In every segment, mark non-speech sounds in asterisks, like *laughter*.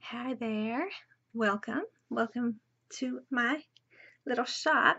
Hi there. Welcome. Welcome to my little shop.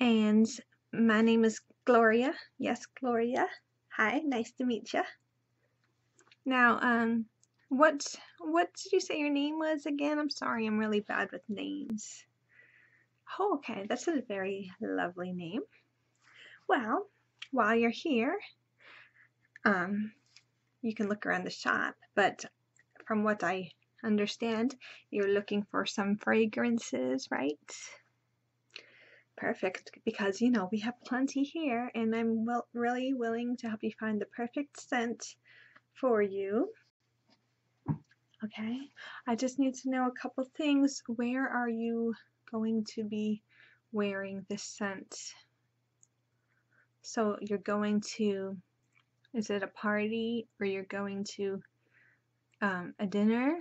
And my name is Gloria. Yes, Gloria. Hi, nice to meet you. Now, um, what what did you say your name was again? I'm sorry, I'm really bad with names. Oh, okay, that's a very lovely name. Well, while you're here, um, you can look around the shop, but from what I understand, you're looking for some fragrances, right? Perfect, because you know we have plenty here, and I'm really willing to help you find the perfect scent for you. Okay, I just need to know a couple things. Where are you going to be wearing this scent? So you're going to, is it a party or you're going to um, a dinner?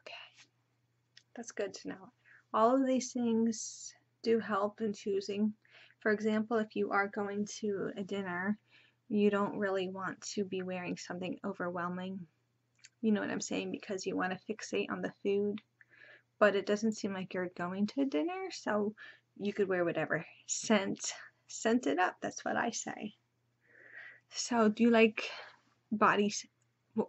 Okay, that's good to know. All of these things do help in choosing. For example, if you are going to a dinner, you don't really want to be wearing something overwhelming. You know what I'm saying? Because you want to fixate on the food but it doesn't seem like you're going to dinner, so you could wear whatever. Scent, scent it up. That's what I say. So, do you like body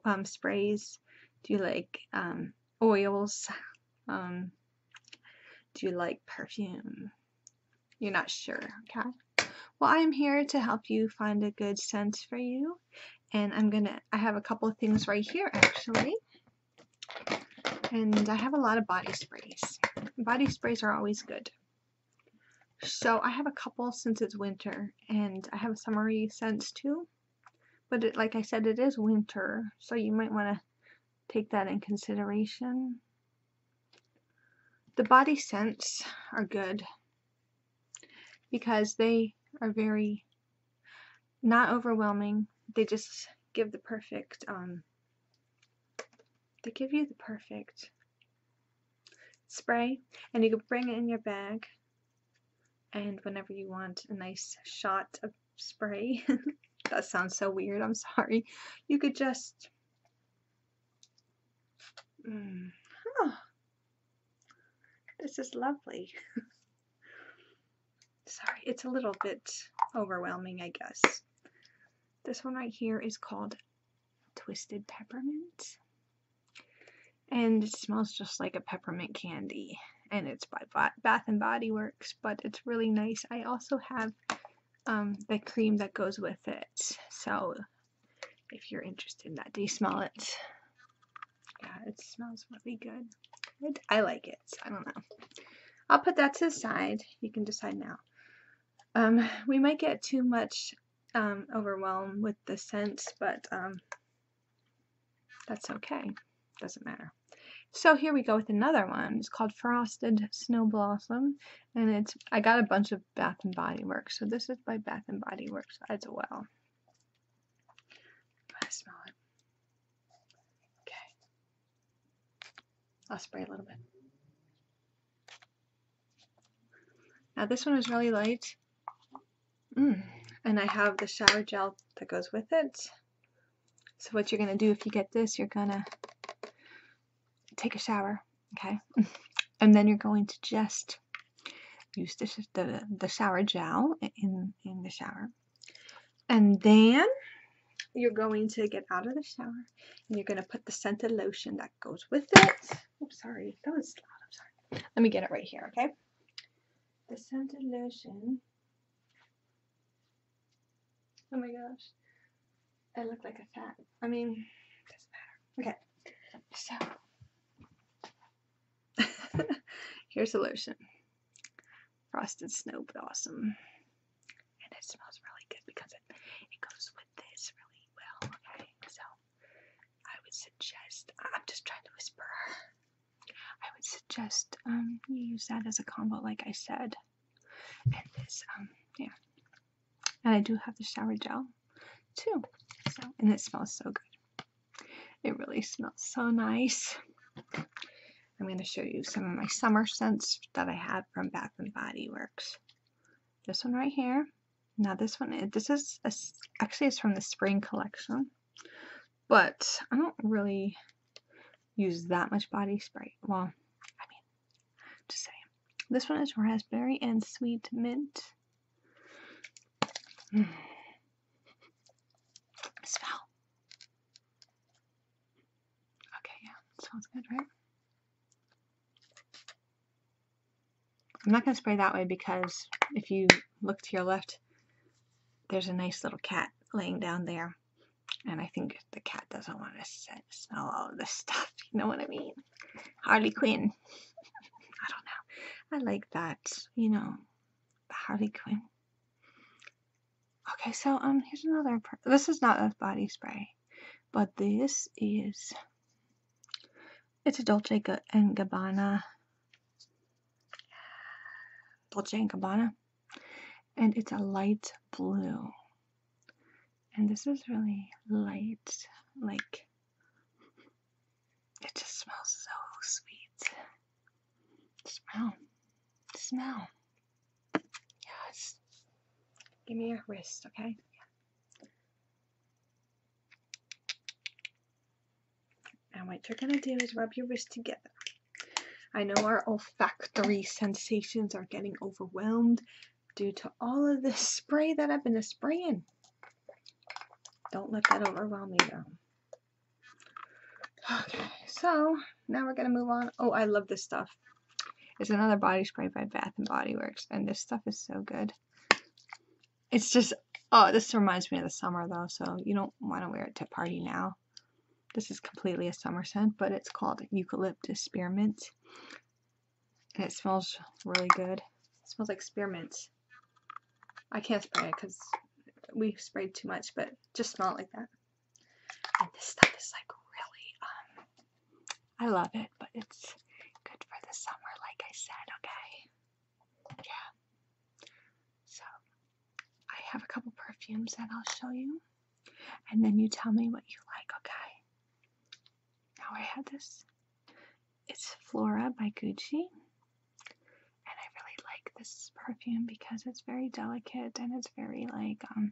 um, sprays? Do you like um, oils? Um, do you like perfume? You're not sure, okay? Well, I am here to help you find a good scent for you and I'm gonna I have a couple of things right here actually and I have a lot of body sprays body sprays are always good so I have a couple since it's winter and I have summery scents too but like I said it is winter so you might want to take that in consideration the body scents are good because they are very not overwhelming. They just give the perfect, um, they give you the perfect spray and you can bring it in your bag and whenever you want a nice shot of spray *laughs* that sounds so weird I'm sorry you could just mm, this is lovely. *laughs* Sorry, it's a little bit overwhelming, I guess. This one right here is called Twisted Peppermint. And it smells just like a peppermint candy. And it's by Bath and Body Works, but it's really nice. I also have um, the cream that goes with it. So if you're interested in that, do you smell it? Yeah, it smells really good. Good. I like it. I don't know. I'll put that to the side. You can decide now. Um, we might get too much um, overwhelmed with the scent, but um, that's okay. Doesn't matter. So here we go with another one. It's called Frosted Snow Blossom, and it's I got a bunch of Bath and Body Works. So this is by Bath and Body Works as well. I smell it? Okay. I'll spray a little bit. Now this one is really light. Mm. And I have the shower gel that goes with it. So what you're going to do if you get this, you're going to take a shower, okay? *laughs* and then you're going to just use the, the, the shower gel in, in the shower and then you're going to get out of the shower and you're going to put the scented lotion that goes with it. Oops, sorry. That was I'm sorry. Let me get it right here, okay? The scented lotion. Oh my gosh. I look like a fat. I mean, doesn't matter. Okay. So *laughs* Here's a lotion. frost and Snow Blossom. And it smells really good because it, it goes with this really well, okay? So, I would suggest, I'm just trying to whisper. I would suggest um, you use that as a combo, like I said. And this, um, yeah. And I do have the shower gel, too. So, and it smells so good. It really smells so nice. I'm going to show you some of my summer scents that I had from Bath and Body Works. This one right here. Now this one, this is actually it's from the spring collection, but I don't really use that much body spray. Well, I mean, just saying. This one is raspberry and sweet mint. Mm. Smell. Okay, yeah, smells good, right? I'm not going to spray that way because if you look to your left, there's a nice little cat laying down there. And I think the cat doesn't want to set, smell all of this stuff. *laughs* You know what I mean? Harley Quinn. *laughs* I don't know. I like that, you know, Harley Quinn. Okay, so um, here's another. This is not a body spray, but this is. It's a Dolce and Gabbana. Dolce and Gabbana, and it's a light blue. And this is really light, like it just smells so sweet. Smell. Smell. Yes. Give me your wrist, okay? And what you're going to do is rub your wrist together. I know our olfactory sensations are getting overwhelmed due to all of this spray that I've been spraying. Don't let that overwhelm you though. Okay, so now we're gonna move on. Oh, I love this stuff. It's another body spray by Bath and Body Works, and this stuff is so good. It's just oh, this reminds me of the summer though, so you don't want to wear it to party now. This is completely a summer scent, but it's called eucalyptus spearmint, and it smells really good. smells like spearmint. I can't spray it because we sprayed too much, but just smell it like that. And this stuff is like really, um, I love it, but it's good for the summer, like I said, okay? Yeah. So, I have a couple perfumes that I'll show you, and then you tell me what you like, okay? Now I have this. It's Flora by Gucci. And I really like this perfume because it's very delicate and it's very like um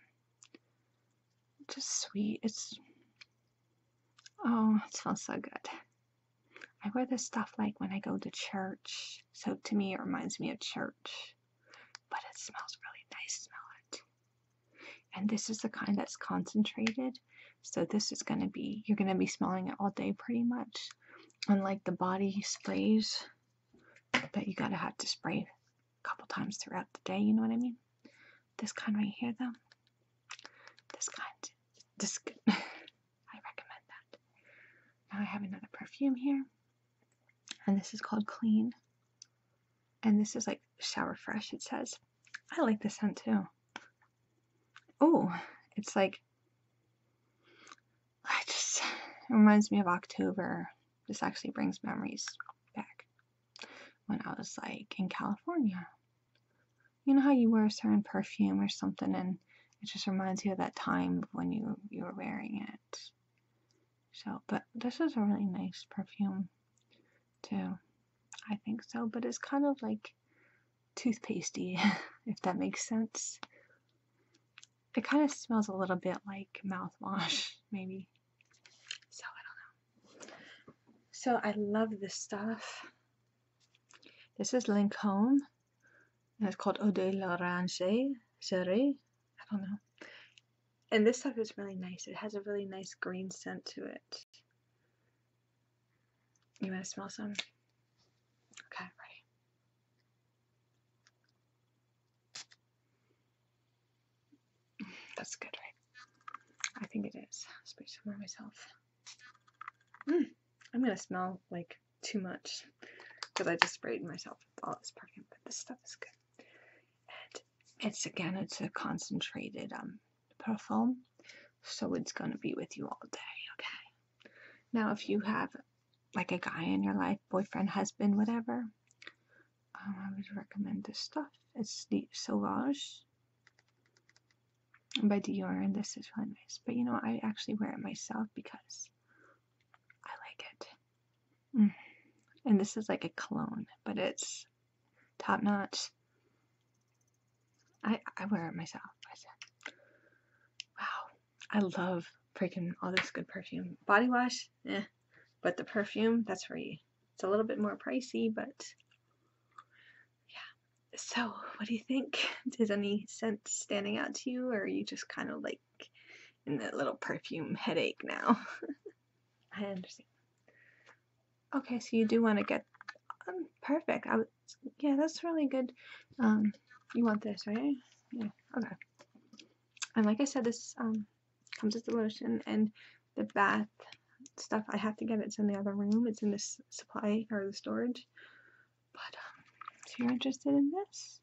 just sweet. It's oh, it smells so good. I wear this stuff like when I go to church. So to me it reminds me of church. But it smells really nice, smell it. And this is the kind that's concentrated. So this is gonna be you're gonna be smelling it all day pretty much unlike the body sprays that you gotta have to spray a couple times throughout the day, you know what I mean? This kind right here, though, this kind, this *laughs* I recommend that. Now I have another perfume here, and this is called Clean. And this is like shower fresh, it says. I like this scent too. Oh, it's like it just reminds me of October. This actually brings memories back when I was like in California. You know how you wear a certain perfume or something and it just reminds you of that time when you you were wearing it. So, but this is a really nice perfume too. I think so, but it's kind of like toothpastey, *laughs* if that makes sense. It kind of smells a little bit like mouthwash, *laughs* maybe. So I don't know. So I love this stuff. This is Lancome. And it's called Eau de l'Orange Serré. I don't know. And this stuff is really nice. It has a really nice green scent to it. You want to smell some? Okay, ready. That's good, right? I think it is. I'll speak to more myself. Hmm. I'm gonna smell like too much because I just sprayed myself with all this perfume, but this stuff is good. And it's again, it's a concentrated um perfume, so it's gonna be with you all day. Okay. Now, if you have like a guy in your life, boyfriend, husband, whatever. Um, I would recommend this stuff. It's the Sauvage by Dior, and this is really nice. But you know, I actually wear it myself because I like it. Mm. And this is like a cologne, but it's top notch. I I wear it myself. wow, I love freaking all this good perfume. Body wash, eh. But the perfume, that's for you. It's a little bit more pricey, but yeah. So, what do you think? Does *laughs* any scent standing out to you, or are you just kind of like in that little perfume headache now? *laughs* I understand. Okay, so you do want to get um, perfect. I was, yeah, that's really good. Um, you want this, right? Yeah. Okay. And like I said, this um, comes with the lotion and the bath stuff. I have to get It's in the other room. It's in the supply or the storage. But um, if you're interested in this.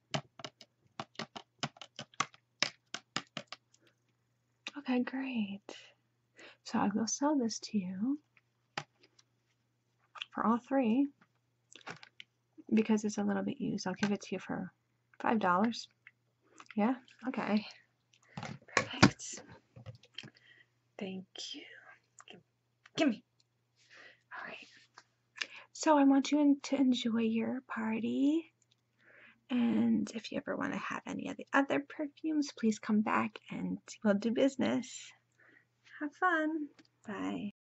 Okay, great. So I will sell this to you for all three because it's a little bit used. I'll give it to you for five dollars. Yeah, okay, perfect. Thank you. Give, me. All right. So I want you to enjoy your party. And if you ever want to have any of the other perfumes, please come back and we'll do business. Have fun. Bye.